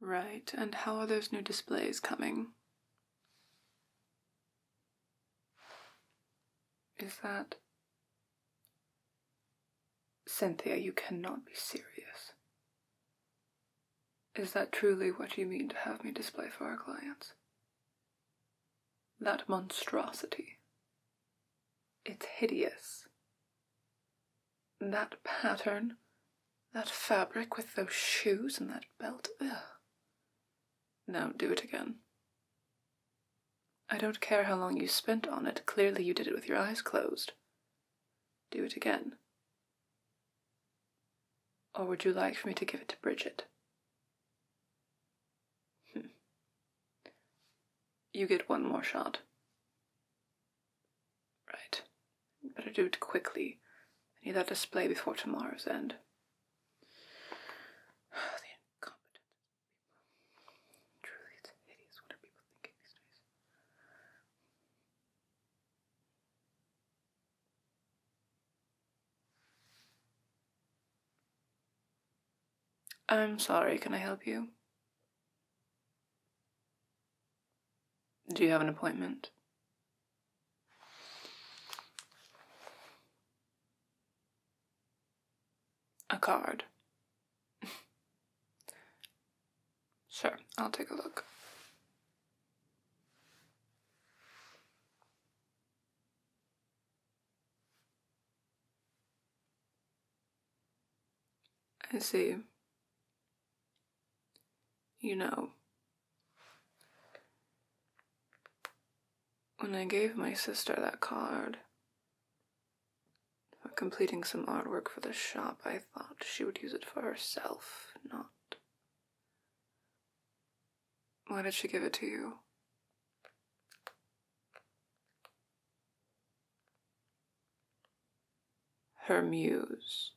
Right, and how are those new displays coming? Is that. Cynthia, you cannot be serious. Is that truly what you mean to have me display for our clients? That monstrosity. It's hideous. That pattern, that fabric with those shoes and that belt, ugh. Now do it again. I don't care how long you spent on it, clearly you did it with your eyes closed. Do it again. Or would you like for me to give it to Bridget? Hmm. You get one more shot. Right. better do it quickly. I need that display before tomorrow's end. the incompetent people. Truly, it's hideous. What are people thinking these days? I'm sorry, can I help you? Do you have an appointment? A card. sure, I'll take a look. I see. You know, when I gave my sister that card for completing some artwork for the shop, I thought she would use it for herself, not. Why did she give it to you? her muse.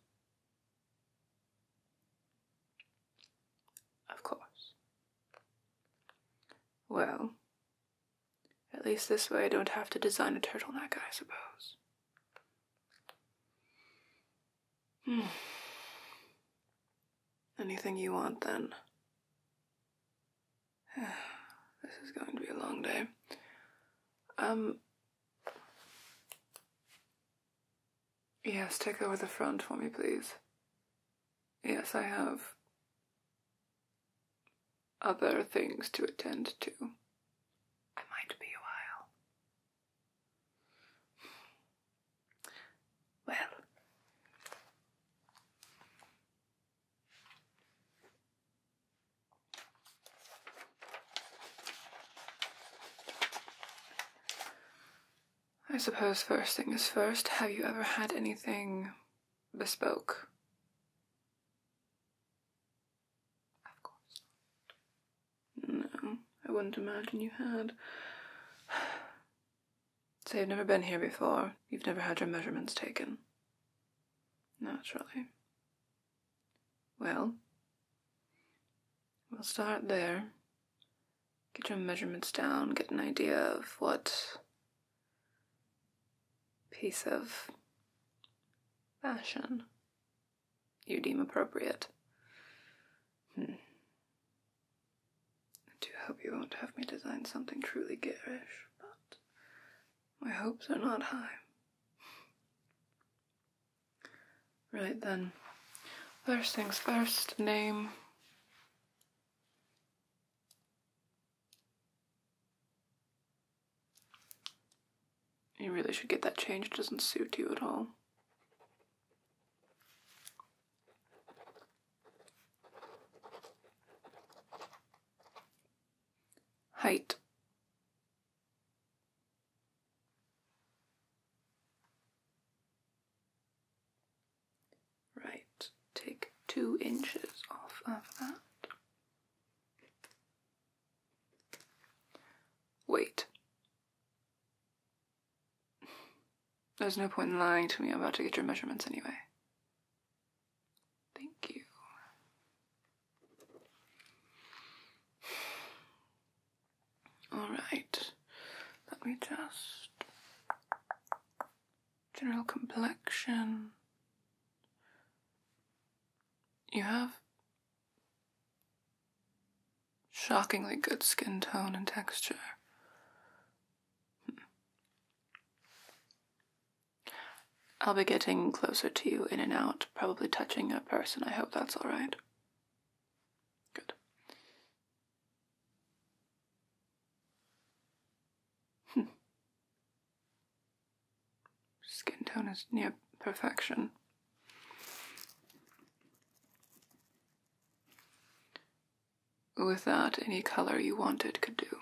Of course. Well, at least this way I don't have to design a turtleneck, I suppose. Hmm. Anything you want then? this is going to be a long day. Um, Yes, take over the front for me, please. Yes, I have other things to attend to. I might be a while. Well, I suppose first thing is first, have you ever had anything bespoke? Of course not. No, I wouldn't imagine you had. Say, you've never been here before, you've never had your measurements taken. Naturally. Well, we'll start there. Get your measurements down, get an idea of what piece of fashion you deem appropriate. Hmm. I do hope you won't have me design something truly garish, but my hopes are not high. Right then, first things first, name. You really should get that changed, doesn't suit you at all. Height. Right, take two inches off of that. Wait. There's no point in lying to me, I'm about to get your measurements anyway. Thank you. All right, let me just. General complexion. You have shockingly good skin tone and texture. Hmm. I'll be getting closer to you in and out, probably touching a person. I hope that's alright. Good. Hmm. Skin tone is near perfection. Without any color you wanted could do.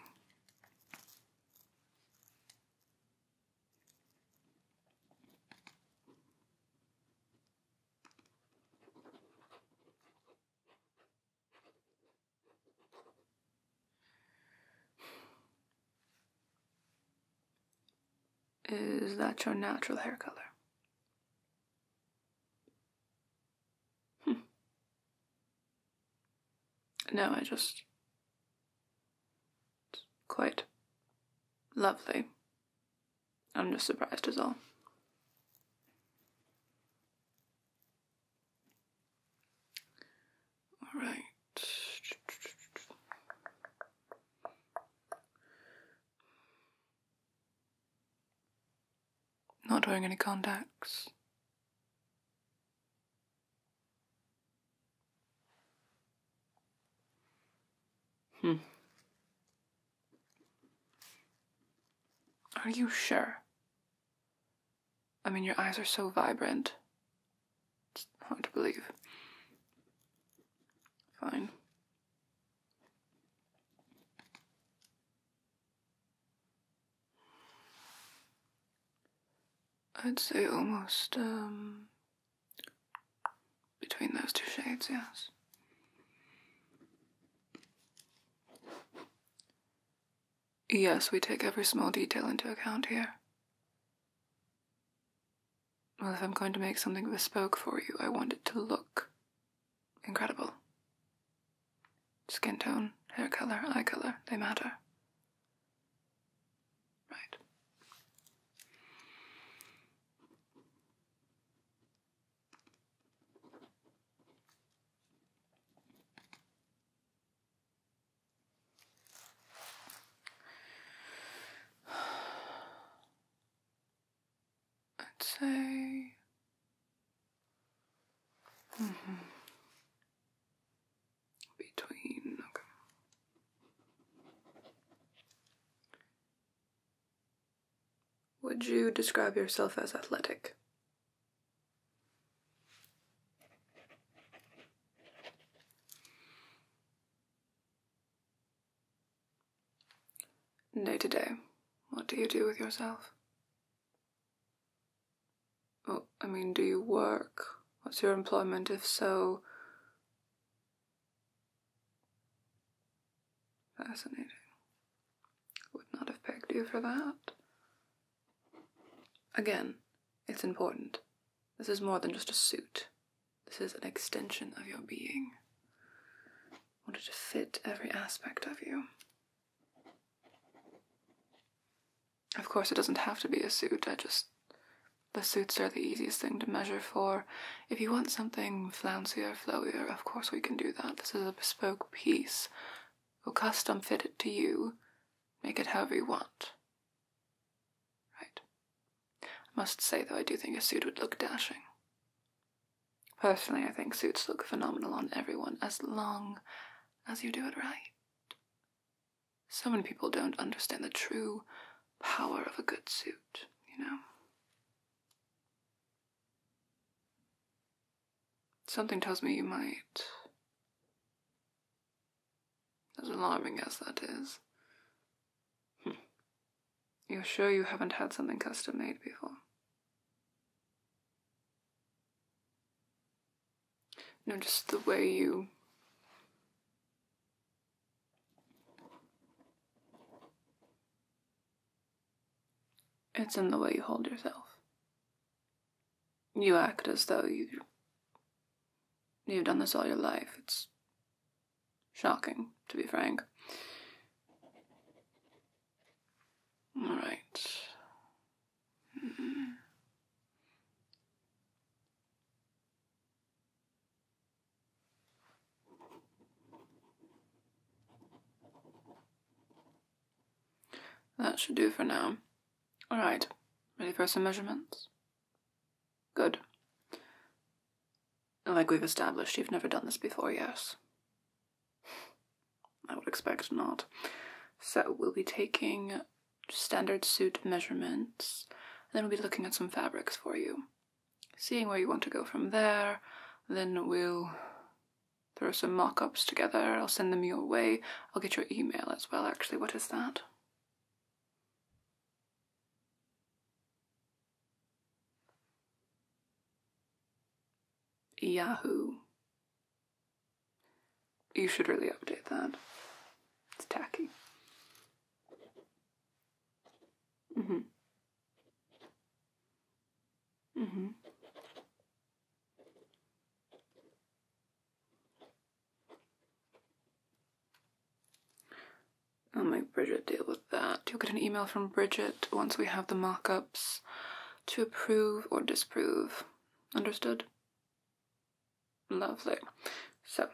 Is that your natural hair color? Hmm. No, I just quite lovely. I'm just surprised as all. Alright. Not wearing any contacts. Hmm. Are you sure? I mean, your eyes are so vibrant. It's hard to believe. Fine. I'd say almost um, between those two shades, yes. Yes, we take every small detail into account here. Well, if I'm going to make something bespoke for you, I want it to look incredible. Skin tone, hair color, eye color, they matter. Right. I'd say. Mm -hmm between, Would you describe yourself as athletic? No, today. what do you do with yourself? Well, I mean, do you work? What's your employment? If so, fascinating. Would not have pegged you for that. Again, it's important. This is more than just a suit. This is an extension of your being. I wanted to fit every aspect of you. Of course, it doesn't have to be a suit, I just. The suits are the easiest thing to measure for. If you want something flouncier, flowier, of course we can do that. This is a bespoke piece. will custom fit it to you, make it however you want. Right. I must say, though, I do think a suit would look dashing. Personally, I think suits look phenomenal on everyone as long as you do it right. So many people don't understand the true power of a good suit, you know? Something tells me you might. As alarming as that is. Hmm, you're sure you haven't had something custom made before? Notice the way you It's in the way you hold yourself. You act as though you you've done this all your life. It's shocking, to be frank. All right. Hmm. That should do for now. Alright, ready for some measurements? Good. Like we've established, you've never done this before, yes? I would expect not. So we'll be taking standard suit measurements. Then we'll be looking at some fabrics for you, seeing where you want to go from there. Then we'll throw some mock ups together. I'll send them your way. I'll get your email as well, actually. What is that? Yahoo. You should really update that. It's tacky. Mm-hmm. Mm-hmm. I'll make Bridget deal with that. You'll get an email from Bridget once we have the mockups to approve or disprove. Understood? Lovely. So,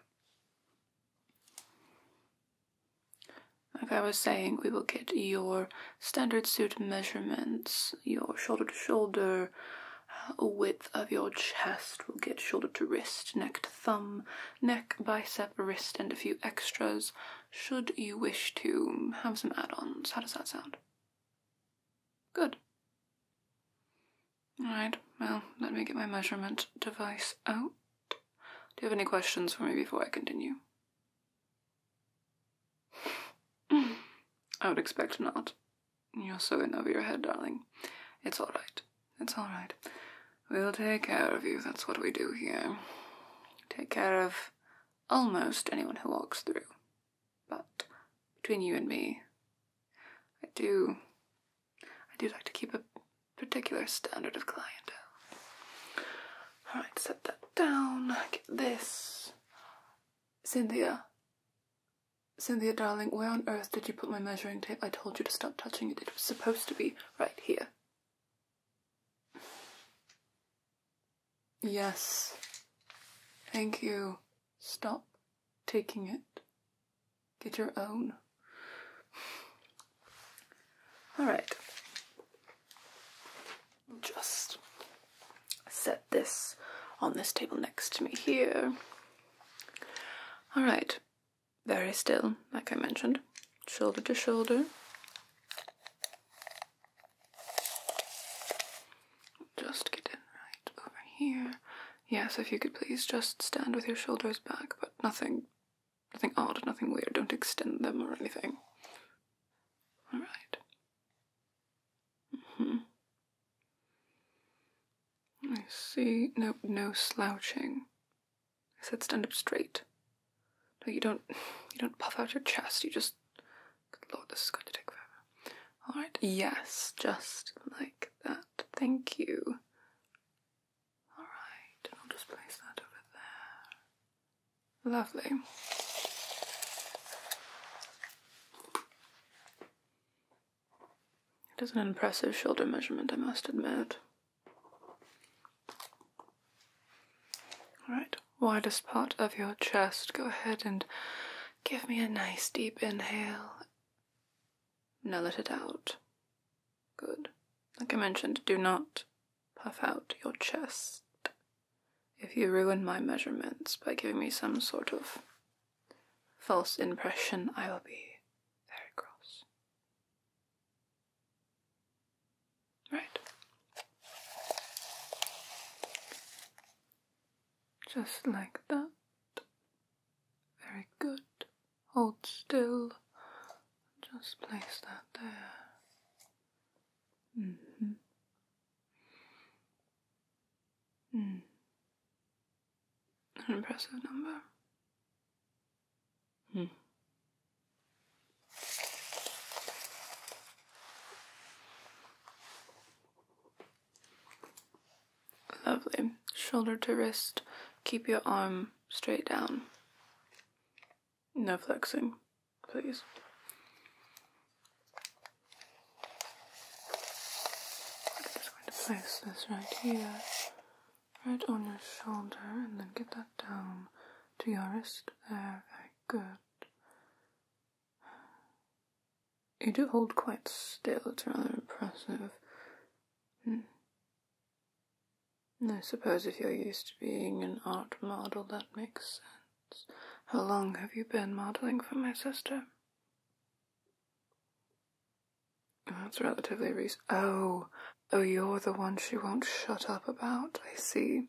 like I was saying, we will get your standard suit measurements, your shoulder to shoulder, uh, width of your chest. We'll get shoulder to wrist, neck to thumb, neck, bicep, wrist, and a few extras should you wish to have some add ons. How does that sound? Good. Alright, well, let me get my measurement device out. Do you have any questions for me before I continue? I would expect not. You're so in over your head, darling. It's alright. It's alright. We'll take care of you, that's what we do here. Take care of almost anyone who walks through. But between you and me, I do. I do like to keep a particular standard of clientele. Alright, set that down. Get this. Cynthia. Cynthia, darling, where on earth did you put my measuring tape? I told you to stop touching it. It was supposed to be right here. Yes. Thank you. Stop taking it. Get your own. Alright. Just set this on this table next to me here. Alright. Very still, like I mentioned. Shoulder to shoulder. Just get in right over here. Yes, if you could please just stand with your shoulders back, but nothing nothing odd, nothing weird. Don't extend them or anything. Alright. hmm I see. No no slouching. I said stand up straight. No, you don't you don't puff out your chest, you just Good lord, this is going to take forever. Alright, yes, just like that. Thank you. Alright, I'll just place that over there. Lovely. It is an impressive shoulder measurement, I must admit. Alright, widest part of your chest. Go ahead and give me a nice deep inhale now let it out. Good. Like I mentioned, do not puff out your chest. If you ruin my measurements by giving me some sort of false impression, I will be very cross. Right. Just like that. Very good. Hold still. Just place that there. Mm-hmm. Mm hmm. An impressive number. Hmm. Lovely. Shoulder to wrist. Keep your arm straight down. No flexing, please. I'm just going to place this right here, right on your shoulder, and then get that down to your wrist there. Very good. You do hold quite still. It's rather impressive. Hmm. I suppose if you're used to being an art model, that makes sense. How long have you been modeling for my sister? That's relatively recent. Oh, oh, you're the one she won't shut up about. I see.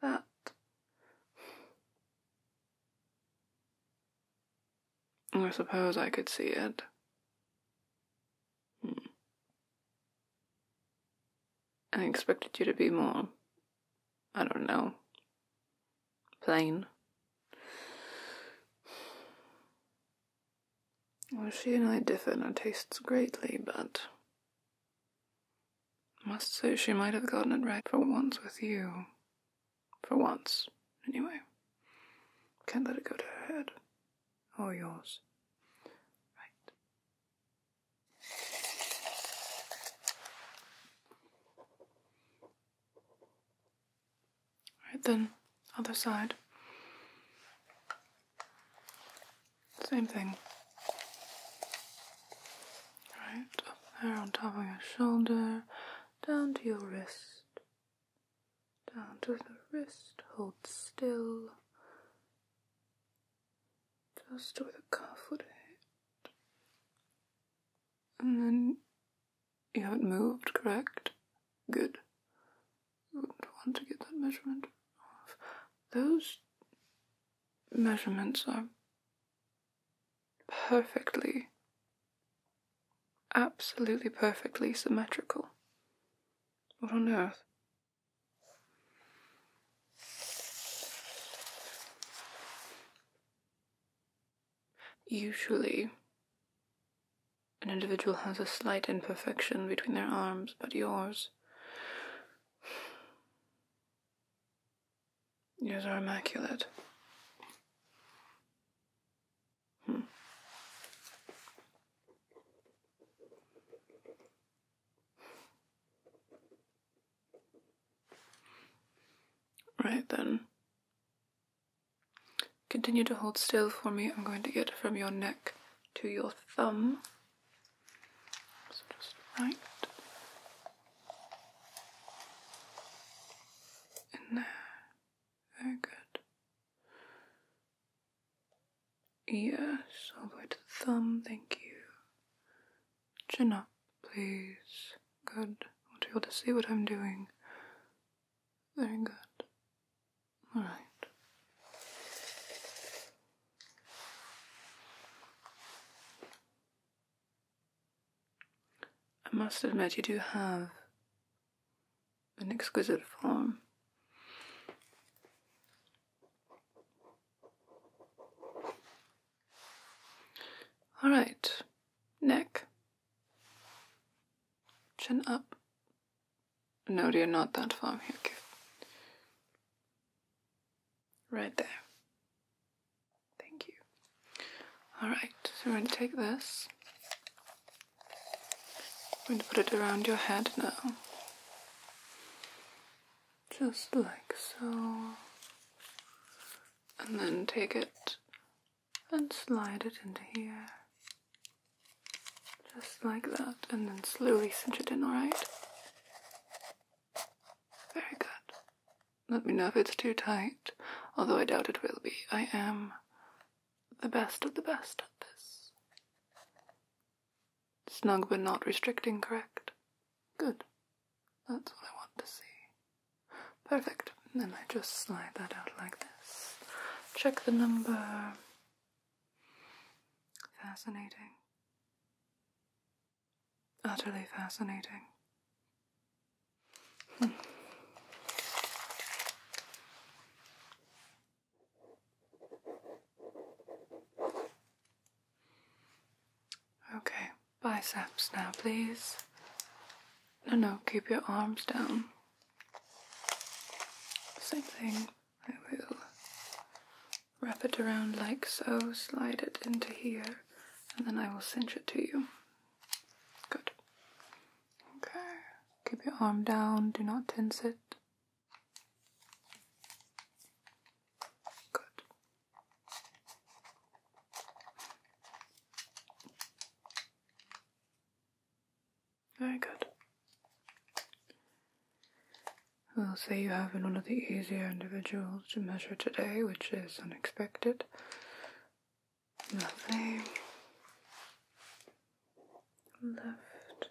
That. I suppose I could see it. Hmm. I expected you to be more, I don't know, plain. Well, she and I differ in our tastes greatly, but I must say she might have gotten it right for once with you. For once, anyway. Can't let it go to her head. Or yours. Right. Right then, other side. Same thing. Right, up there on top of your shoulder down to your wrist, down to the wrist, hold still, just with the cuff would it. And then you haven't moved, correct? Good. You wouldn't want to get that measurement off. Those measurements are perfectly, absolutely perfectly symmetrical. What on earth? Usually, an individual has a slight imperfection between their arms, but yours. Yours are immaculate. Hmm. Right then. Continue to hold still for me. I'm going to get from your neck to your thumb. just right, in there. Very good. Yes, all the way to the thumb, thank you. Chin up, please. Good. I want to be able to see what I'm doing. Very good. Alright. I must admit, you do have an exquisite form. All right, neck, chin up. No, dear, not that far. Here, okay. Right there. Thank you. Alright, so we're going to take this. We're going to put it around your head now. Just like so. And then take it and slide it into here. Just like that. And then slowly cinch it in, alright? Very good. Let me know if it's too tight, although I doubt it will be. I am the best of the best at this. Snug but not restricting, correct? Good. That's what I want to see. Perfect. And then I just slide that out like this. Check the number. Fascinating. Utterly fascinating. Hmm. Okay, biceps now, please. No, no, keep your arms down. Same thing. I will wrap it around like so, slide it into here, and then I will cinch it to you. Good. Okay. Keep your arm down, do not tense it. Good. Very good. We'll say you have been one of the easier individuals to measure today, which is unexpected. Nothing. Left.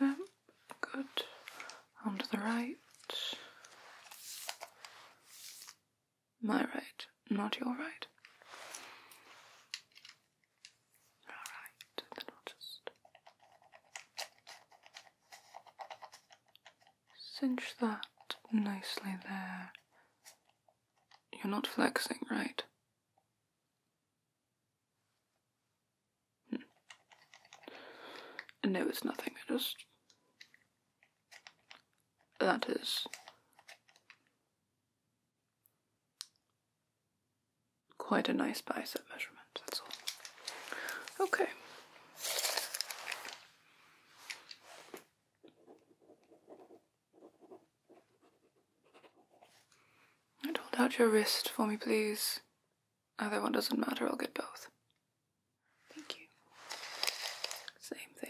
I up. Good. On the right. My right, not your right. Alright, then I'll just Cinch that nicely there. You're not flexing, right? Hmm. No, it's nothing. I just. That is. Quite a nice bicep measurement, that's all. Okay. And hold out your wrist for me, please. Either one doesn't matter, I'll get both. Thank you. Same thing.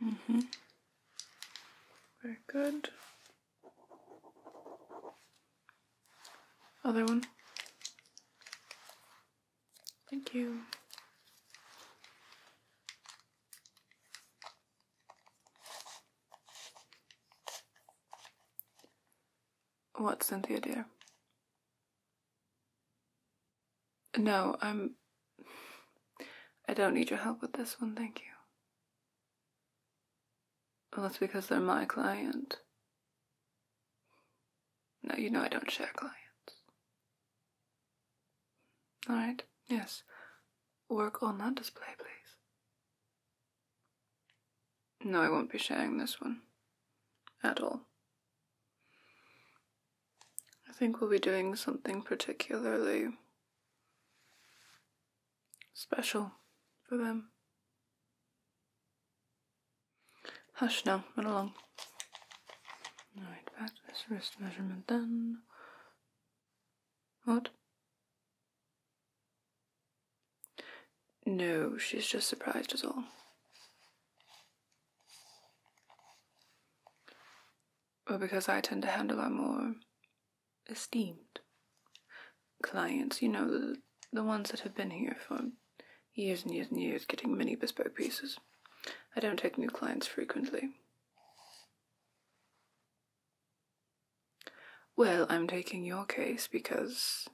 Mm -hmm. Very good. Other one. Thank you. What, Cynthia dear? No, I'm. I don't need your help with this one, thank you. Unless because they're my client. No, you know I don't share clients. Alright, yes. Work on that display, please. No, I won't be sharing this one. At all. I think we'll be doing something particularly special for them. Hush now, run along. Alright, back to this wrist measurement then. What? No, she's just surprised us all. Well, because I tend to handle our more esteemed clients, you know, the ones that have been here for years and years and years getting many bespoke pieces. I don't take new clients frequently. Well, I'm taking your case because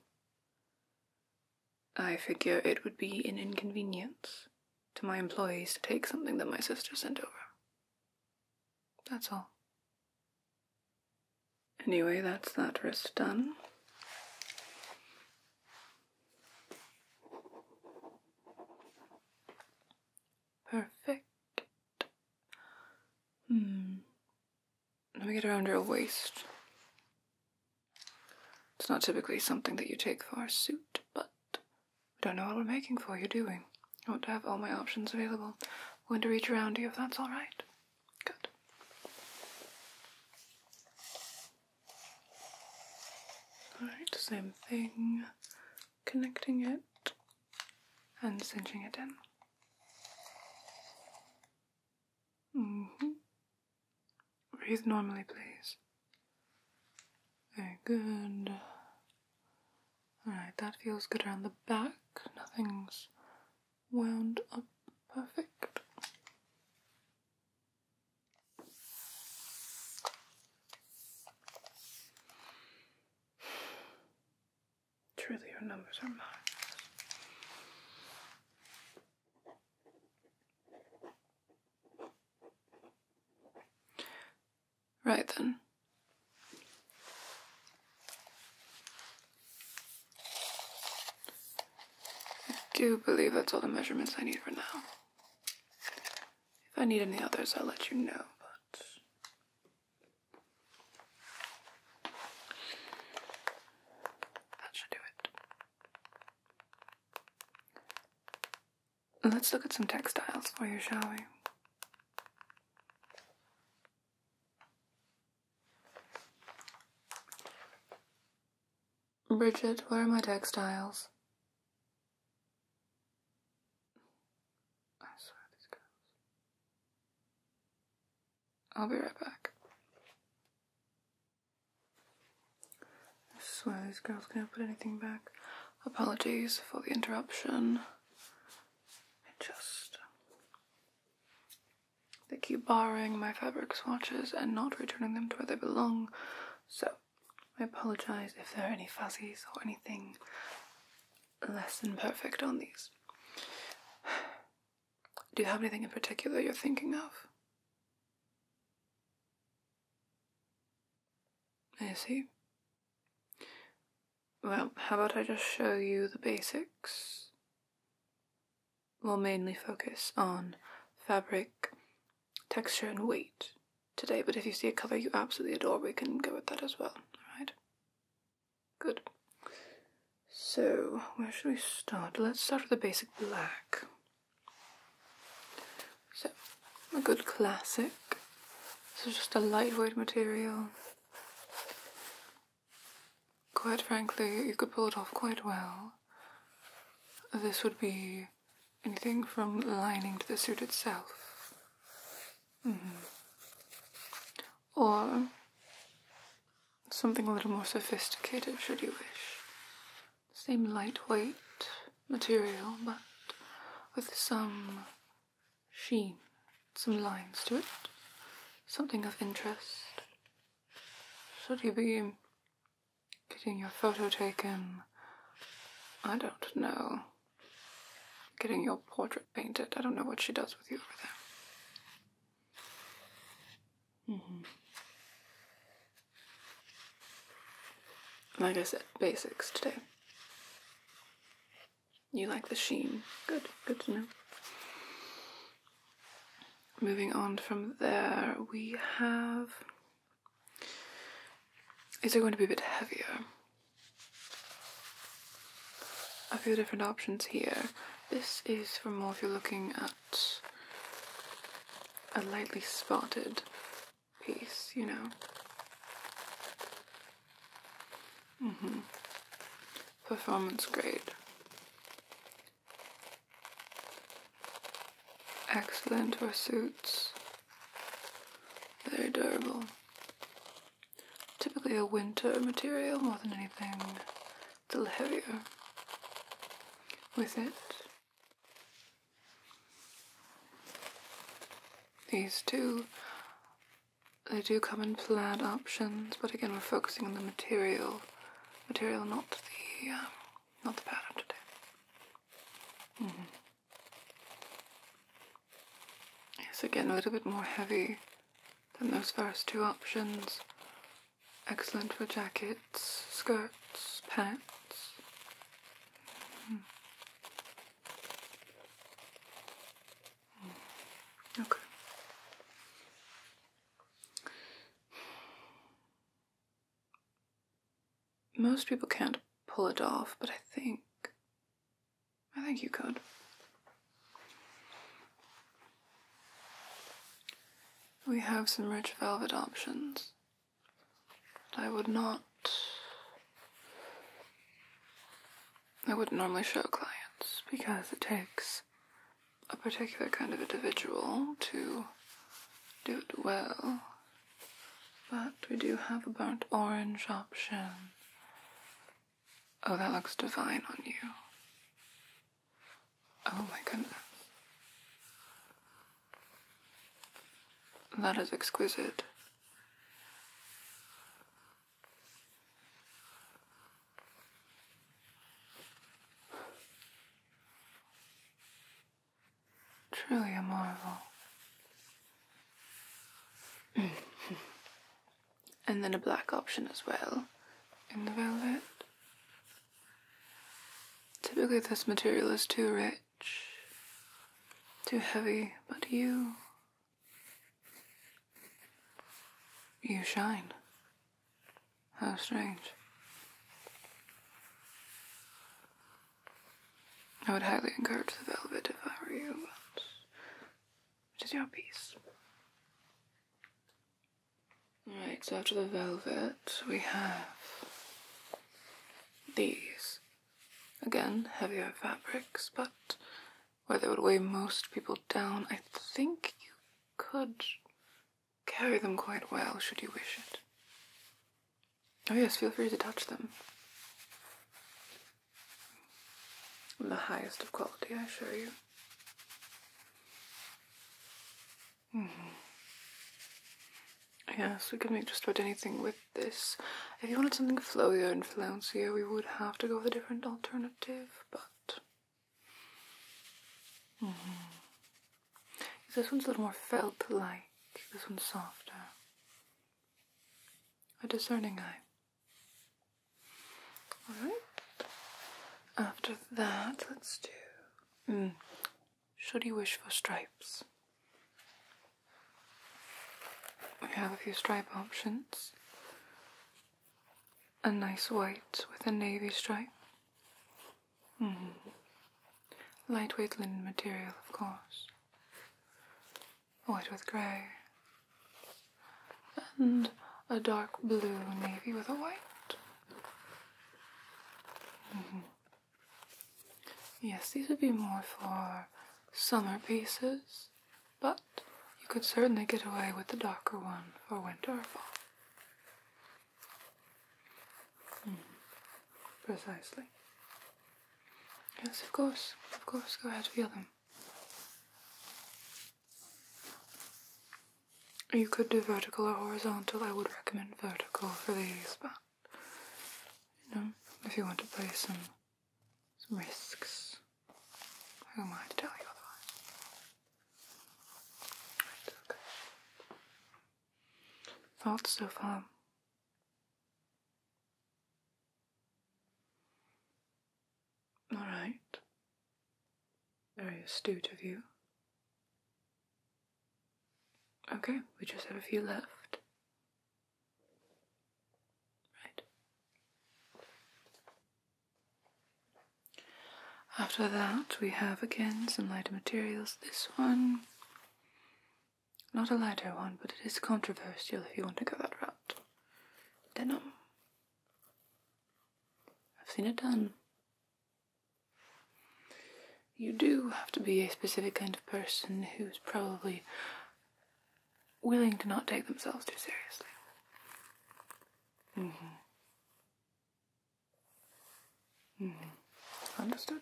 I figure it would be an inconvenience to my employees to take something that my sister sent over. That's all. Anyway, that's that wrist done. Perfect. Hmm. Let me get around your waist. It's not typically something that you take for a suit, but we don't know what we're making for you, do we? I want to have all my options available. I'm going to reach around you if that's alright. Good. Alright, same thing. Connecting it and cinching it in. -hmm. Breathe normally, please. Very good. Alright, that feels good around the back. Nothing's wound up perfect. Truly, your numbers are mine. Right then. I do believe that's all the measurements I need for now. If I need any others, I'll let you know, but. That should do it. Let's look at some textiles for you, shall we? Bridget, where are my textiles? I swear these girls. I'll be right back. I swear these girls can't put anything back. Apologies for the interruption. It just. They keep borrowing my fabric swatches and not returning them to where they belong, so I apologize if there are any fuzzies or anything less than perfect on these. Do you have anything in particular you're thinking of? I see. Well, how about I just show you the basics? We'll mainly focus on fabric, texture, and weight today, but if you see a colour you absolutely adore, we can go with that as well, alright? Good. So, where should we start? Let's start with the basic black. So, a good classic. This is just a lightweight material. Quite frankly, you could pull it off quite well. This would be anything from lining to the suit itself. Mm-hmm. Or something a little more sophisticated, should you wish same lightweight material, but with some sheen, some lines to it, something of interest. Should he be getting your photo taken? I don't know. Getting your portrait painted. I don't know what she does with you over there. -hmm. Like I said, basics today. You like the sheen. Good, good to know. Moving on from there, we have. These are going to be a bit heavier. A few different options here. This is for more if you're looking at a lightly spotted piece, you know? Mm-hmm. Performance grade. Excellent for suits. Very durable. Typically a winter material more than anything. It's a little heavier with it. These two, they do come in flat options, but again we're focusing on the material, material not the, um, not the pattern today. Mm mm-hmm. Yes, again a little bit more heavy than those first two options. Excellent for jackets skirts, pants. Hmm. Okay. Most people can't pull it off, but I think. I think you could. We have some rich velvet options. I would not. I would normally show clients because it takes a particular kind of individual to do it well. But we do have a burnt orange option. Oh, that looks divine on you. Oh my goodness. That is exquisite. Truly a marvel. and then a black option as well in the velvet. Typically, this material is too rich, too heavy, but you. You shine. How strange. I would highly encourage the velvet if I were you, but it is your piece. Alright, so after the velvet, we have these. Again, heavier fabrics, but where they would weigh most people down, I think you could carry them quite well should you wish it. Oh yes, feel free to touch them. The highest of quality, I assure you. Yes, we could make just about anything with this. If you wanted something flowier and flouncier, we would have to go with a different alternative, but. This one's a little more felt like, this one's softer. A discerning eye. Alright. After that, let's do. Hmm, should you wish for stripes. We have a few stripe options. A nice white with a navy stripe. Mm-hmm. Lightweight linen material, of course. White with grey. And a dark blue navy with a white. Mm-hmm. Yes, these would be more for summer pieces, but you could certainly get away with the darker one for winter or fall. Hmm. precisely. Yes, of course, of course, go ahead, feel them. You could do vertical or horizontal. I would recommend vertical for these, but you know, if you want to play some some risks, who am I to tell you otherwise? Right, okay. Thoughts so far. All right. Very astute of you. Okay, we just have a few left. Right. After that, we have again some lighter materials. This one, not a lighter one, but it is controversial if you want to go that route. Denim. I've seen it done. You do have to be a specific kind of person who's probably willing to not take themselves too seriously. Mm-hmm. Mm-hmm. Understood?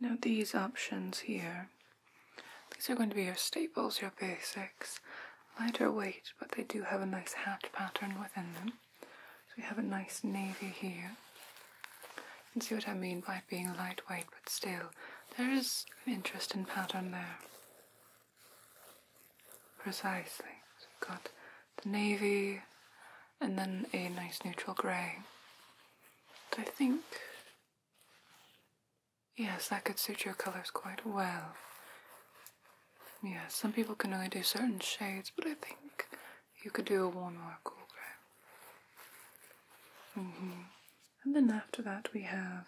Now these options here, these are going to be your staples, your basics. Lighter weight, but they do have a nice hat pattern within them. So we have a nice navy here. You see what I mean by being lightweight, but still, there is an interesting pattern there. Precisely. So we've got the navy and then a nice neutral grey. I think Yes, that could suit your colors quite well. Yeah, some people can only do certain shades, but I think you could do a warm or a cool gray. Mm -hmm. And then after that we have,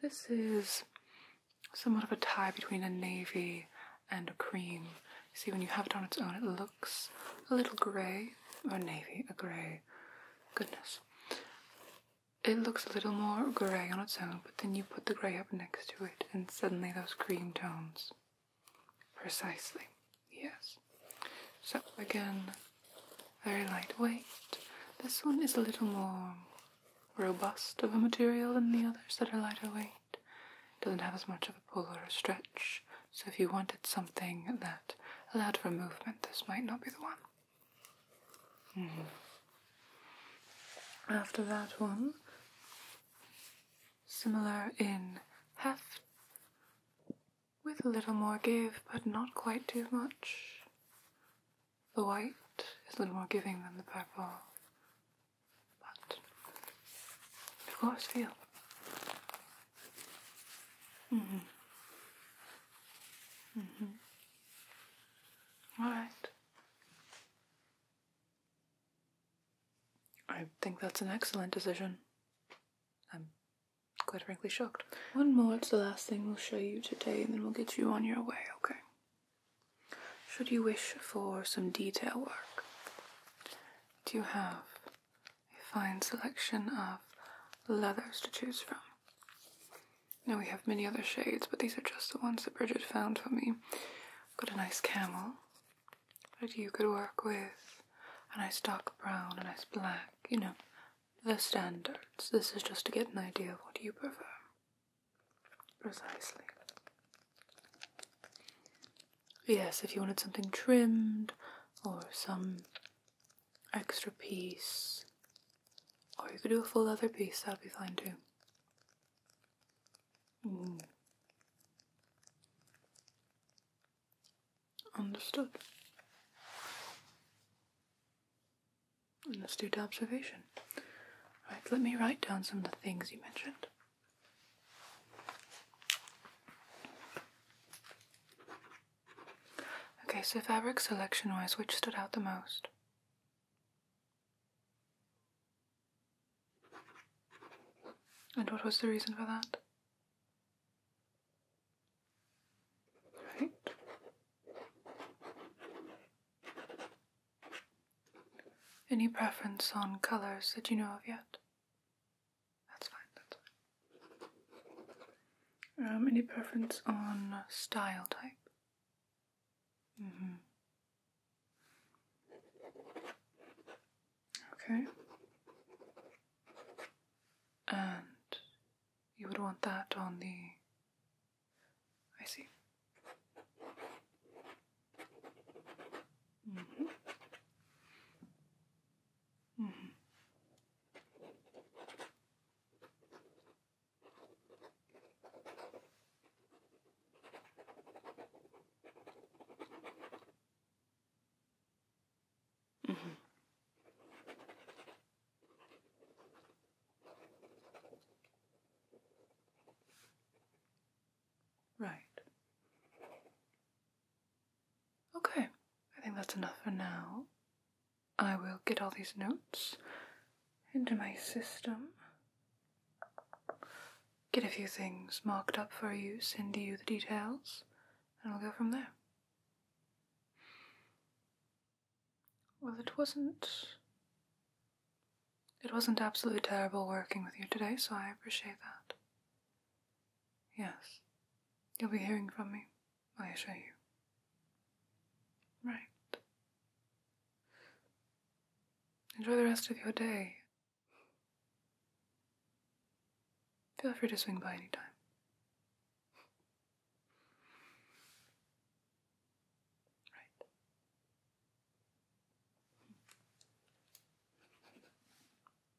this is somewhat of a tie between a navy and a cream. See, when you have it on its own, it looks a little grey, grey oh, or navy, a grey. Goodness. It looks a little more grey on its own, but then you put the grey up next to it, and suddenly those cream tones. Precisely, yes. So, again, very lightweight. This one is a little more robust of a material than the others that are lighter weight. Doesn't have as much of a pull or a stretch. So if you wanted something that allowed for movement, this might not be the one. Mm-hmm. After that one, similar in heft, with a little more give, but not quite too much. The white is a little more giving than the purple, but of course, feel. Mm-hmm. mm-hmm. Mm-hmm. All right. I think that's an excellent decision. I'm quite frankly shocked. One more, it's the last thing we'll show you today, and then we'll get you on your way, okay? Should you wish for some detail work, do you have a fine selection of leathers to choose from. Now we have many other shades, but these are just the ones that Bridget found for me. Got a nice camel that you could work with, a nice dark brown, a nice black, you know, the standards. This is just to get an idea of what you prefer. Precisely. Yes, if you wanted something trimmed or some extra piece. Or oh, you could do a full leather piece, that'd be fine too. Mm. Understood. And let's do the observation. Right, let me write down some of the things you mentioned. Okay, so fabric selection wise, which stood out the most? And what was the reason for that? Right. Any preference on colours that you know of yet? That's fine, that's fine. Um, any preference on style type? Mm hmm. Okay. And you would want that on the. I see. Mm -hmm. Mm -hmm. Mm -hmm. Right. Okay, I think that's enough for now. I will get all these notes into my system, get a few things marked up for you, send you the details, and we'll go from there. Well, it wasn't. It wasn't absolutely terrible working with you today, so I appreciate that. Yes. You'll be hearing from me, I assure you. Right. Enjoy the rest of your day. Feel free to swing by anytime. Right.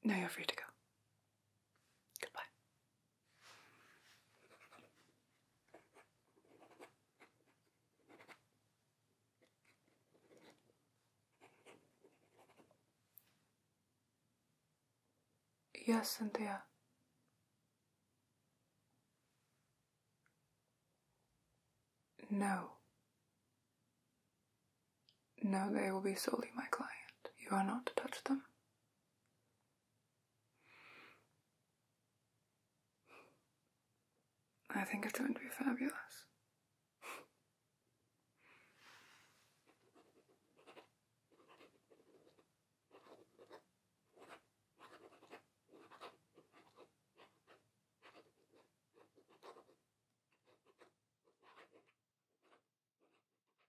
Now you're free to go. Goodbye. Yes, Cynthia. No. No, they will be solely my client. You are not to touch them. I think it's going to be fabulous.